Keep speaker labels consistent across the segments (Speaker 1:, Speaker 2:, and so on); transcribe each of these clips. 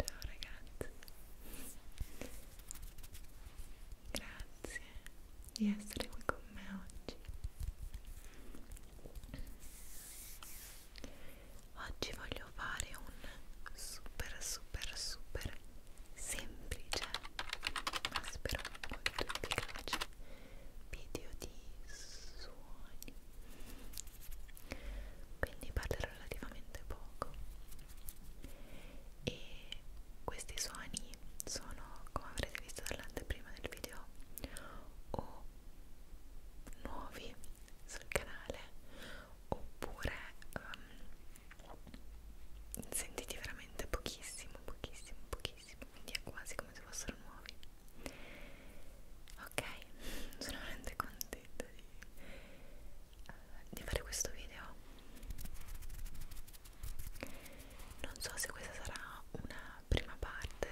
Speaker 1: Ciao ragazzi, grazie di essere qui con me oggi. Oggi voglio fare un super super super semplice, ma spero molto efficace video di suoni quindi parlerò relativamente poco e questi suoni sono come avrete visto dall'anteprima del video o nuovi sul canale oppure um, sentiti veramente pochissimo pochissimo pochissimo quindi è quasi come se fossero nuovi ok sono veramente contenta di, uh, di fare questo video non so se questa sarà una prima parte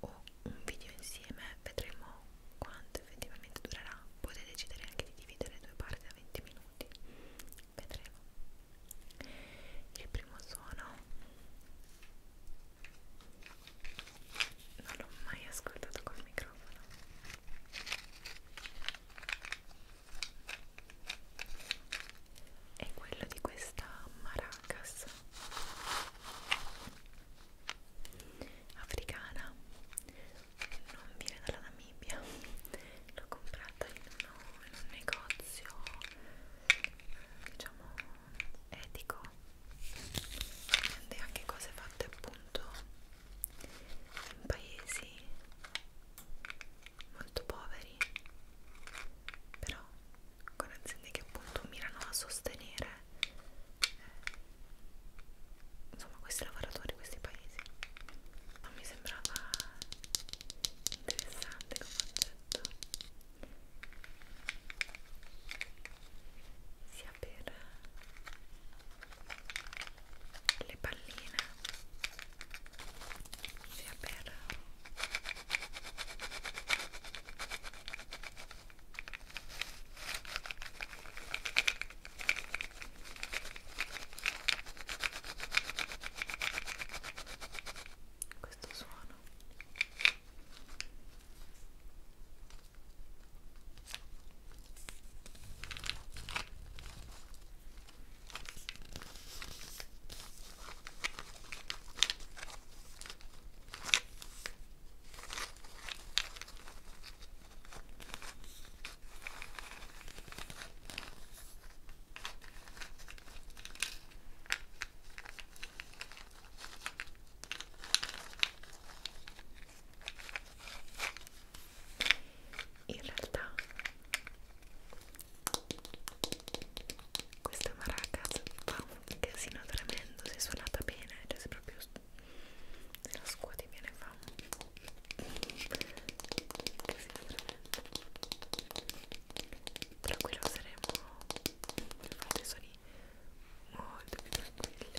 Speaker 1: o un video insieme vedremo quanto effettivamente durerà potete decidere anche di dividere due parti da 20 minuti vedremo il primo suono non l'ho mai ascoltato col microfono è quello di questa maracas africana non viene dalla Namibia l'ho comprata in, uno, in un negozio diciamo etico e anche cose fatte appunto in paesi molto poveri però con aziende che appunto mirano a sostenere eh, insomma questi lavoratori questi paesi non mi sembrava interessante come concetto sia per le palline sia per questo suono in realtà questa maracas fa un casino tremendo se suonata bene, cioè se proprio se la scuoti bene fa un casino tremendo però qui lo useremo per fare dei suoni molto più tranquilli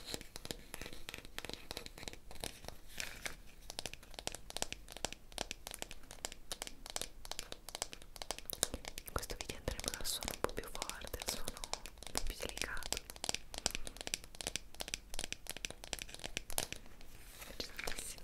Speaker 1: in questo video andremo dal suono un po' più forte al suono un po' più delicato mi piace tantissimo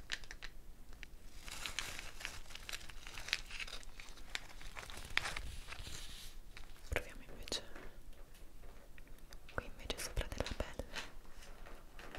Speaker 1: proviamo invece qui invece sopra della pelle ok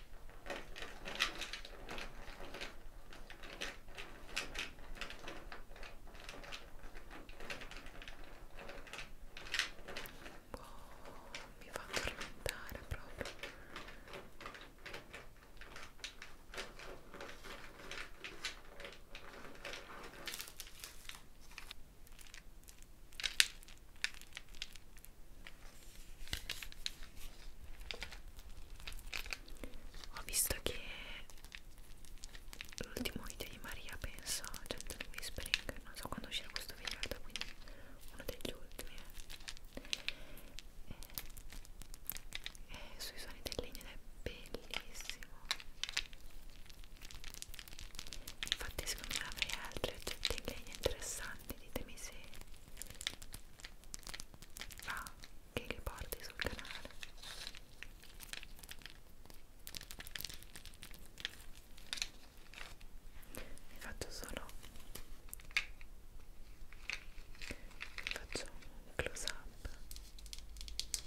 Speaker 1: Oh, mi fa addormentare proprio ho visto che l'ultimo video di Maria penso Gentle cioè, Whispering non so quando uscirà questo video in realtà quindi uno degli ultimi eh. e, eh, e sui suoni del legno ed è bellissimo infatti secondo me avrei altri oggetti in legno interessanti ditemi se va ah, che li porti sul canale vi faccio solo vi faccio un close up ok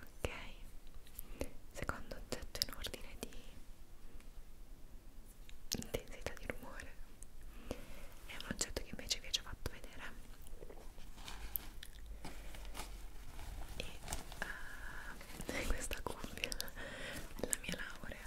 Speaker 1: Ok, secondo oggetto in ordine di intensità di rumore è un oggetto che invece vi ho già fatto vedere e uh, questa cuffia della mia laurea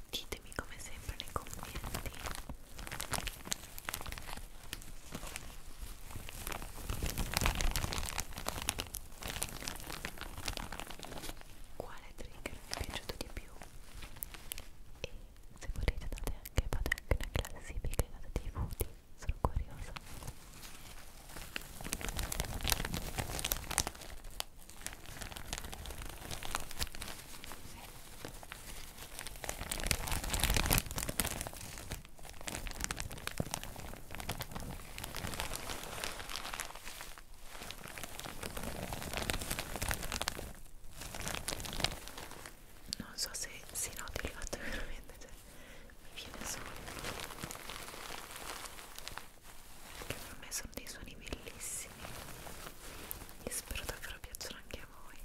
Speaker 1: ditemi come sempre nei commenti quale trigger vi è piaciuto di più e se volete date anche, fate anche una classifica e date dei voti sono curiosa non so se si noti il fatto veramente cioè, viene solo che per me sono dei suoni bellissimi e spero davvero piacciono anche a voi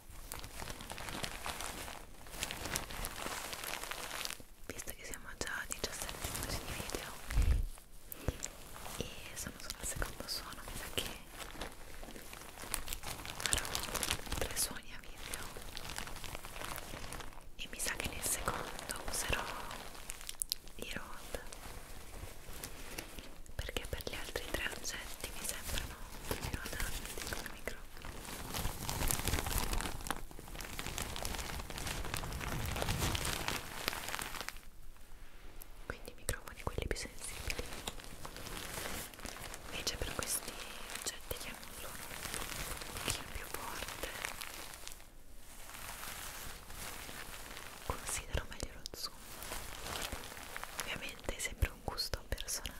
Speaker 1: visto che siamo già a 17 minuti di video e sono solo al secondo suono mi sa che farò tre suoni a video e mi sa che nel secondo userò i road perché per gli altri tre oggetti mi sembra funziona il micro quindi microfoni quelli più sensibili invece per questi oggetti che hanno un suono un pochino più forte considero meglio lo zoom ovviamente sembra per un gusto personale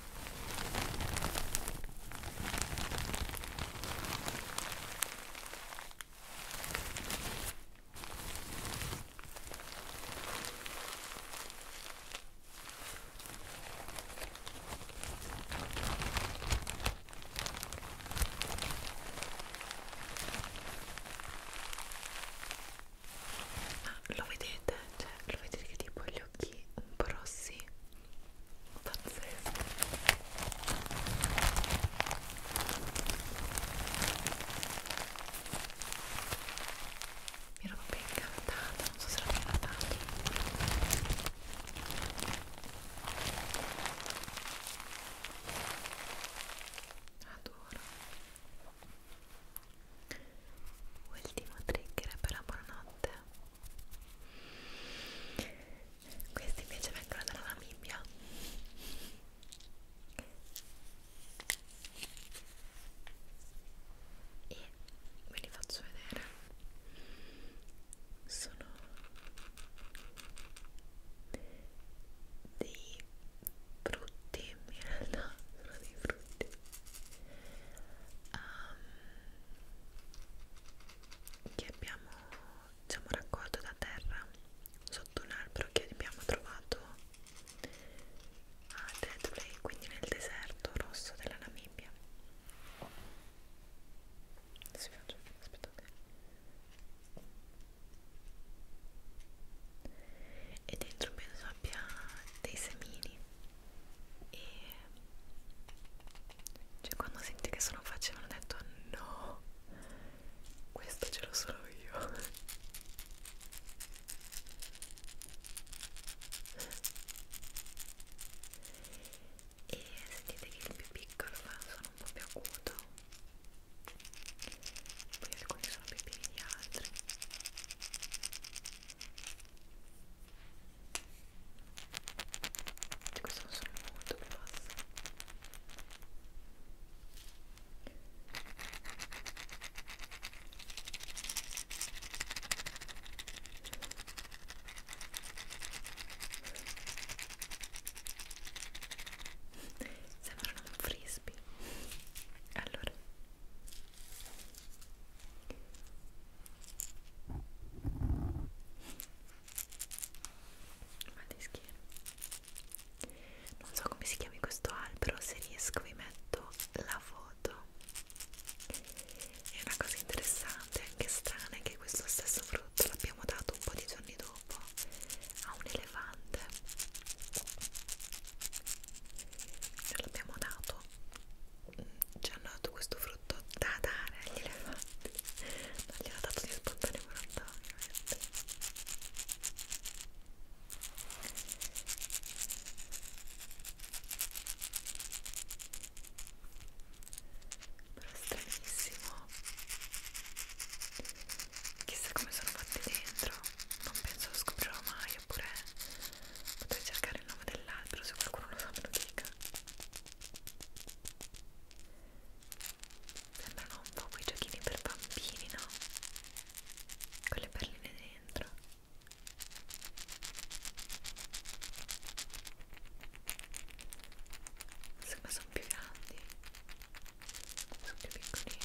Speaker 1: Ma ah, lo vedete? Cioè, lo vedete che tipo gli occhi un po' rossi pazzesco mi ero proprio incantata non so se l'ho incantata adoro ultimo trigger per la buonanotte questi invece vengono dalla Namibia e ve li faccio vedere sono dei frutti in realtà sono dei frutti um, che abbiamo diciamo, raccolto da terra sotto un albero che abbiamo trovato a Deadplay, quindi nel deserto rosso della Namibia. Si faccio, aspettate. E dentro penso abbia dei semini e cioè quando senti che sono facevano ho detto no questo ce l'ho solo io e sentite che il più piccolo fa sono un po' più acuto poi alcuni sono più pieni di altri questo è un suono molto più basso sembrano un frisbee allora Madeschino. Non so come si chiami questo albero, se riesco vi metto la foto. E una cosa interessante, anche strana, è che questo stesso frutto l'abbiamo dato un po' di giorni dopo a un elefante. Ce l'abbiamo dato ci hanno dato questo frutto da dare agli elefanti non gliel'ha dato di spontaneo volontà ovviamente però stranissimo chissà come sono fatti dentro non penso lo scoprirò mai oppure potrei cercare il nome dell'albero se qualcuno lo sa me lo dica Sembrano un po' quei giochini per bambini, no? Con le perline dentro. Sembra sono più grandi. Sono più piccolini.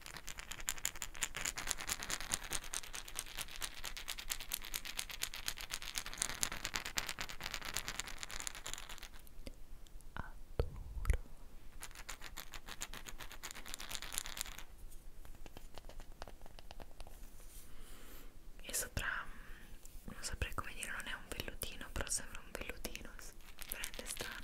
Speaker 1: Adoro. E sopra non saprei come dire, non è un vellutino, però sembra un vellutino, prende strano.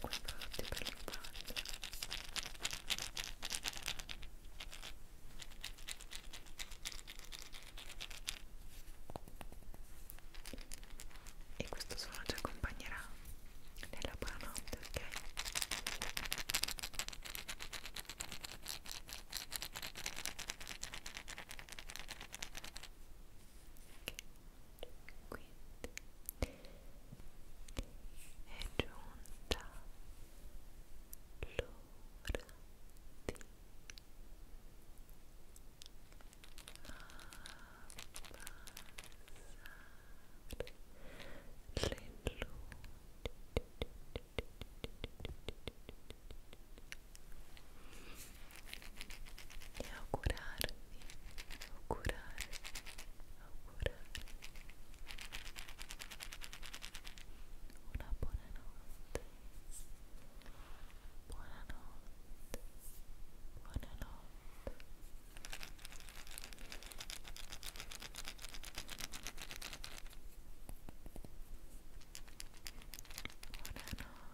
Speaker 1: guardate per le palle e questo suono ci accompagnerà nella buonanotte, ok? quindi è giunta l'ora di abbassare le luci e augurarvi, augurarvi, augurarvi una buona notte, buona notte, buona notte, buona notte.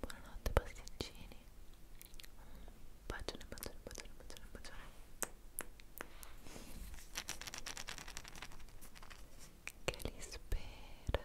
Speaker 1: Buonanotte pasticcini. Bacione, bacione, bacione, bacione, bacione. Che li spera.